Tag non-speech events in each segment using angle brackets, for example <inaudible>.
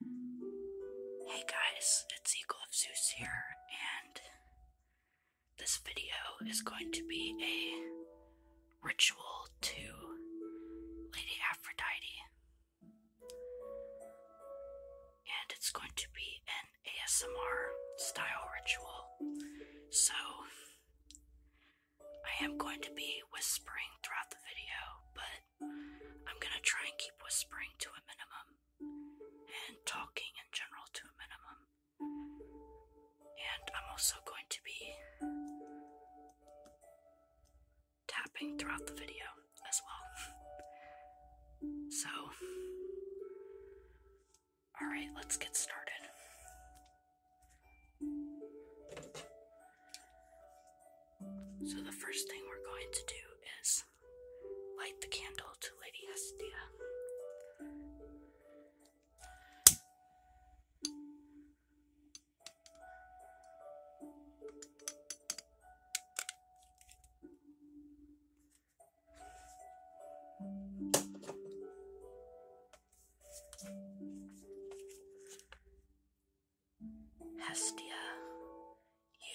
Hey guys, it's Eagle of Zeus here, and this video is going to be a ritual to Lady Aphrodite. And it's going to be an ASMR style ritual. So, I am going to be whispering throughout the video, but I'm gonna try and keep whispering to a minimum and talking in general to a minimum. And I'm also going to be tapping throughout the video as well. So, alright, let's get started. So the first thing we're going to do is light the candle to Lady Astia. Hestia,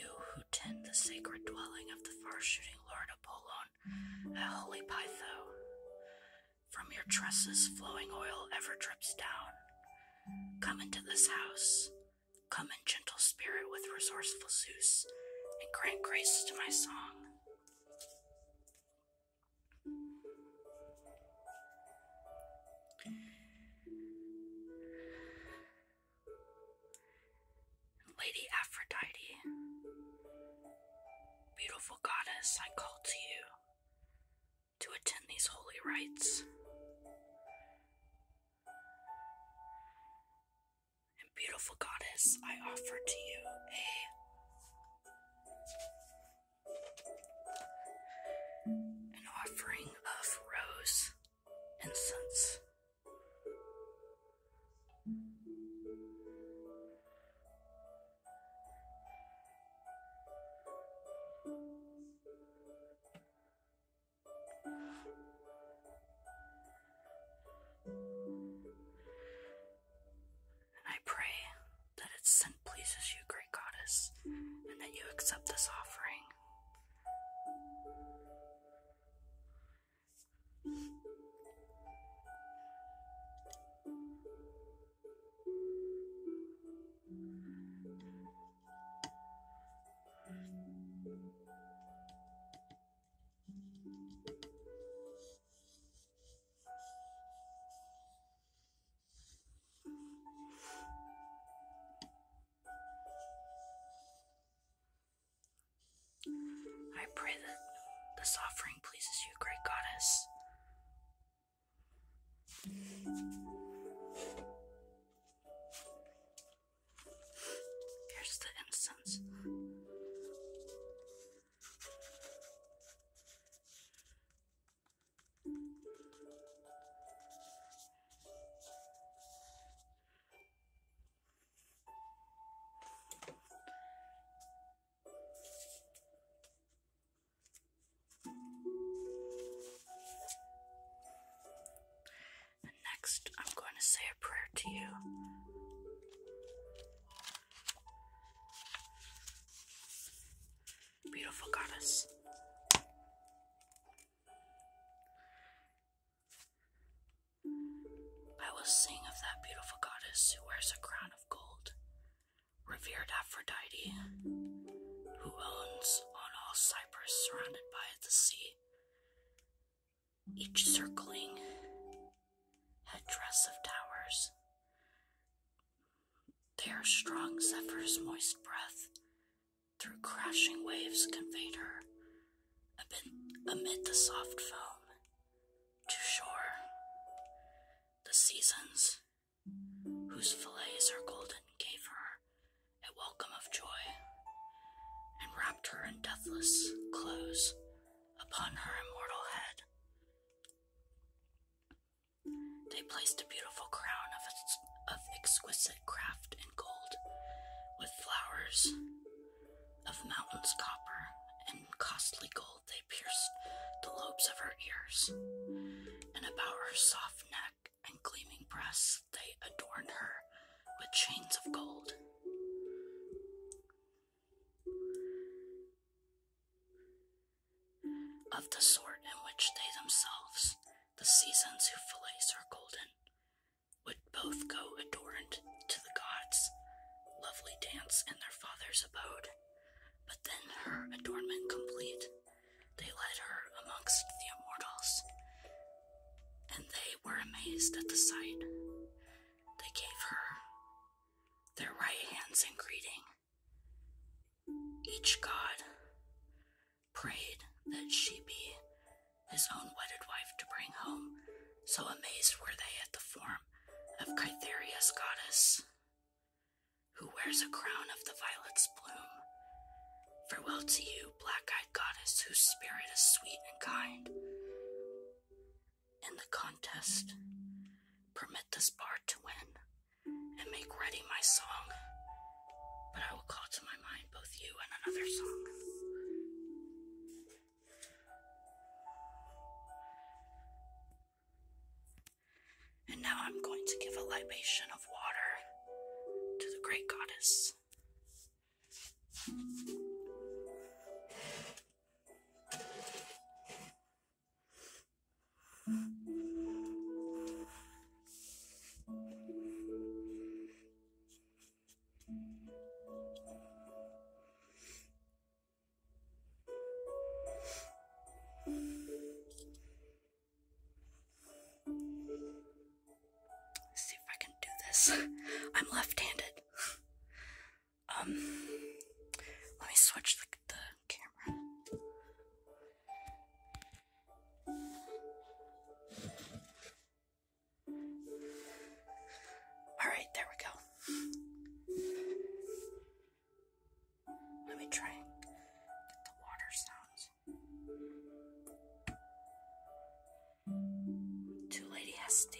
you who tend the sacred dwelling of the far-shooting lord Apollon a holy Pytho, from your tresses flowing oil ever drips down. Come into this house, come in gentle spirit with resourceful Zeus, and grant grace to my song. Lady Aphrodite, beautiful goddess, I call to you to attend these holy rites. And, beautiful goddess, I offer to you a an offering of rose incense and I pray that its scent pleases you, great goddess, and that you accept this offering. I pray that this offering pleases you, great goddess. Here's the incense next, I'm going to say a prayer to you. Beautiful goddess. I will sing of that beautiful goddess who wears a crown of gold, revered Aphrodite, who owns on all Cyprus surrounded by the sea, each circling headdress of towers, they strong Zephyr's moist breath through crashing waves conveyed her amid the soft foam to shore. The seasons, whose fillets are golden, gave her a welcome of joy and wrapped her in deathless clothes upon her immortal head. They placed a beautiful crown of, exquisite craft in gold, with flowers of mountains copper and costly gold. They pierced the lobes of her ears, and about her soft neck and gleaming breasts, they adorned her with chains of gold of the sort in which they themselves, the seasons who fillets are golden, would both go adorned to the gods, lovely dance in their father's abode. But then her adornment complete, they led her amongst the immortals, and they were amazed at the sight. They gave her their right hands in greeting. Each god prayed that she be his own wedded wife to bring home, so amazed were they at the form of Kytheria's goddess, who wears a crown of the violet's bloom. Farewell to you, black eyed goddess, whose spirit is sweet and kind in the contest. Permit this bard to win and make ready my song. But I will call to my mind both you and another song. And now I'm going to give a libation of water to the great goddess see if I can do this. <laughs> I'm left handed. Um, let me switch the, the camera. Alright, there we go. Let me try get the water sounds. Two Lady Hestia. Uh,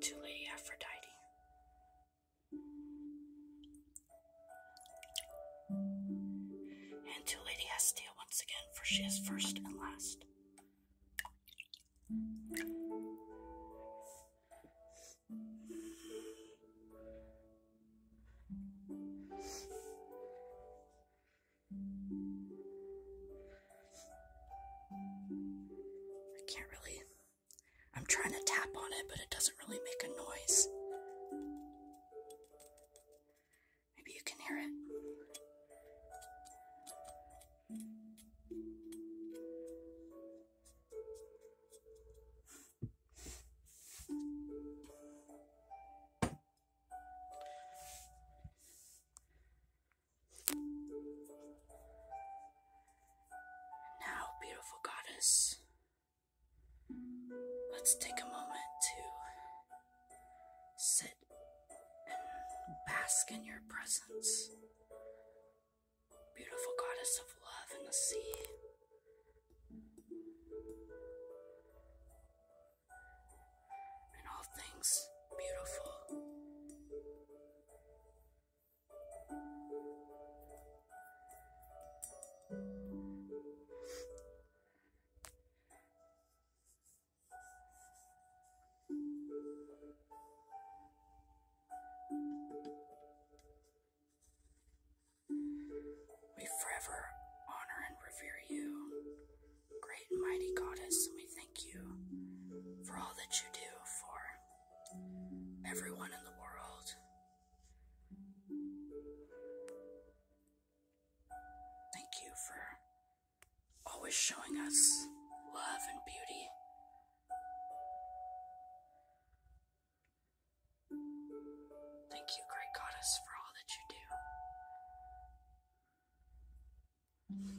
to Lady Aphrodite. And to Lady Hestia once again, for she is first and last. I can't really. I'm trying to tap on it, but it doesn't really make a noise. Maybe you can hear it. Now, beautiful goddess, let's take a moment to sit and bask in your presence beautiful goddess of love and the sea. And all things beautiful. We forever honor and revere you. Great and mighty goddess, we thank you for all that you do for everyone in the world. Thank you for always showing us love and beauty Thank you, great goddess, for all that you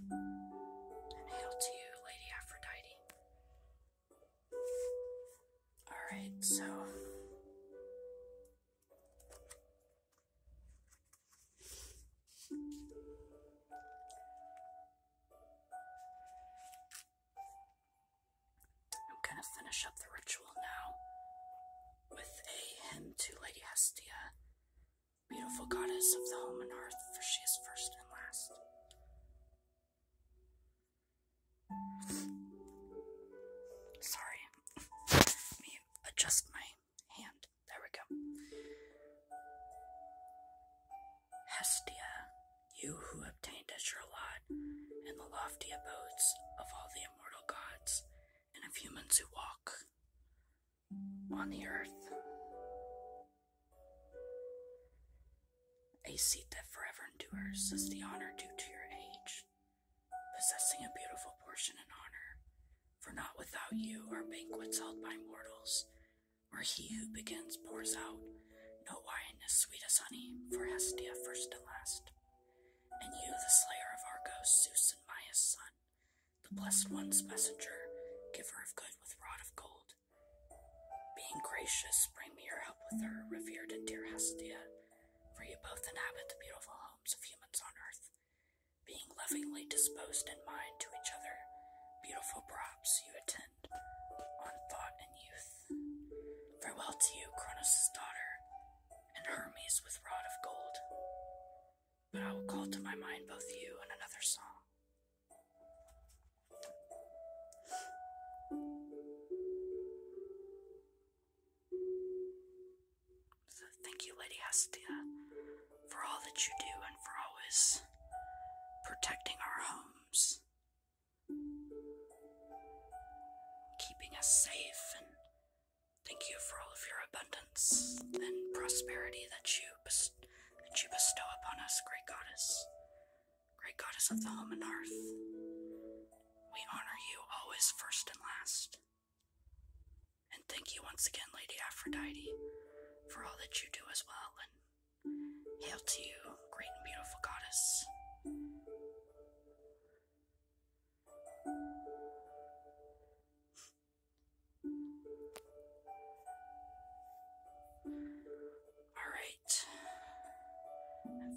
do. And hail to you, Lady Aphrodite. Alright, so. I'm going to finish up the ritual now with a hymn to Lady Hestia, beautiful goddess of the home and earth, for she is first and last. Sorry, me adjust my hand. There we go. Hestia, you who obtained as your lot in the lofty abodes of all the immortal gods and of humans who walk on the earth. A seat that forever endures is the honor due to your age, possessing a beautiful portion in honor. For not without you are banquets held by mortals, where he who begins pours out. No wine as sweet as honey, for Hestia first and last. And you, the slayer of Argos, Zeus and Maia's son, the blessed one's messenger, giver of good with rod of gold. Being gracious, bring me your help with her, revered and dear Hestia, for you both inhabit the beautiful homes of humans on earth. Being lovingly disposed in mind to each other, beautiful props you attend on thought and youth. Farewell to you, Cronos' daughter, and Hermes with rod of gold. But I will call to my mind both you and another song. So thank you, Lady Hestia, for all that you do and for always protecting our homes, keeping us safe, and thank you for all of your abundance and prosperity that you that you bestow upon us, great goddess, great goddess of the home and earth, We honor you always, first and last. And thank you once again, Lady Aphrodite, for all that you do as well. And Hail to you, great and beautiful goddess. Alright.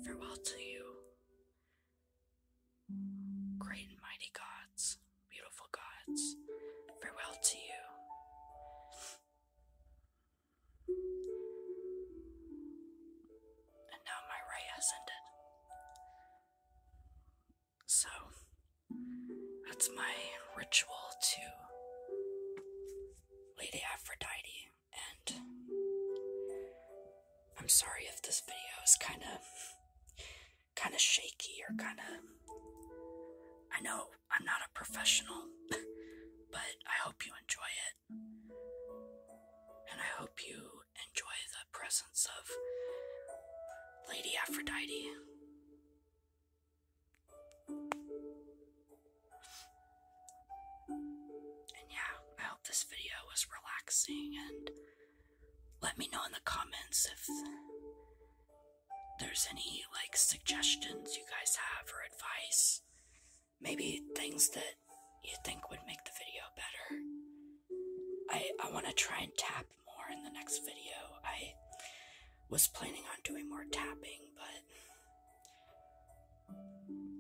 Farewell to you, great and mighty gods beautiful gods, farewell to you. And now my ray has ended. So, that's my ritual to Lady Aphrodite, and I'm sorry if this video is kind of kind of shaky or kind of. I know I'm not a professional, <laughs> but I hope you enjoy it. And I hope you enjoy the presence of Lady Aphrodite. And yeah, I hope this video was relaxing and let me know in the comments if there's any like suggestions you guys have or advice, maybe things that you think would make the video better. I I want to try and tap more in the next video. I was planning on doing more tapping, but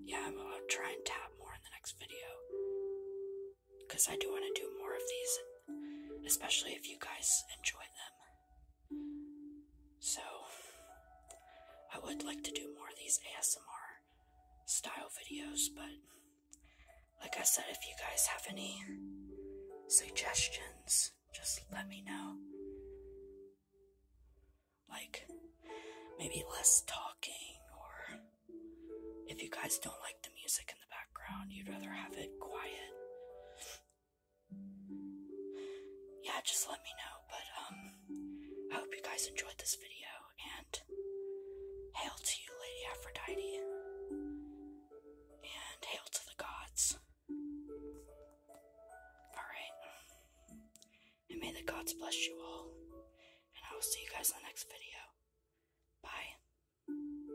yeah, I'm gonna try and tap more in the next video because I do want to do more of these, especially if you guys enjoy them. So, I would like to do more of these ASMR style videos, but like I said, if you guys have any suggestions, just let me know. Like, maybe less talking, or if you guys don't like the music in the background. You'd rather have it quiet. Yeah, just let me know. But, um, I hope you guys enjoyed this video, and hail to you, Lady Aphrodite. And hail to the gods. Alright. And may the gods bless you all. And I will see you guys in the next video. Bye.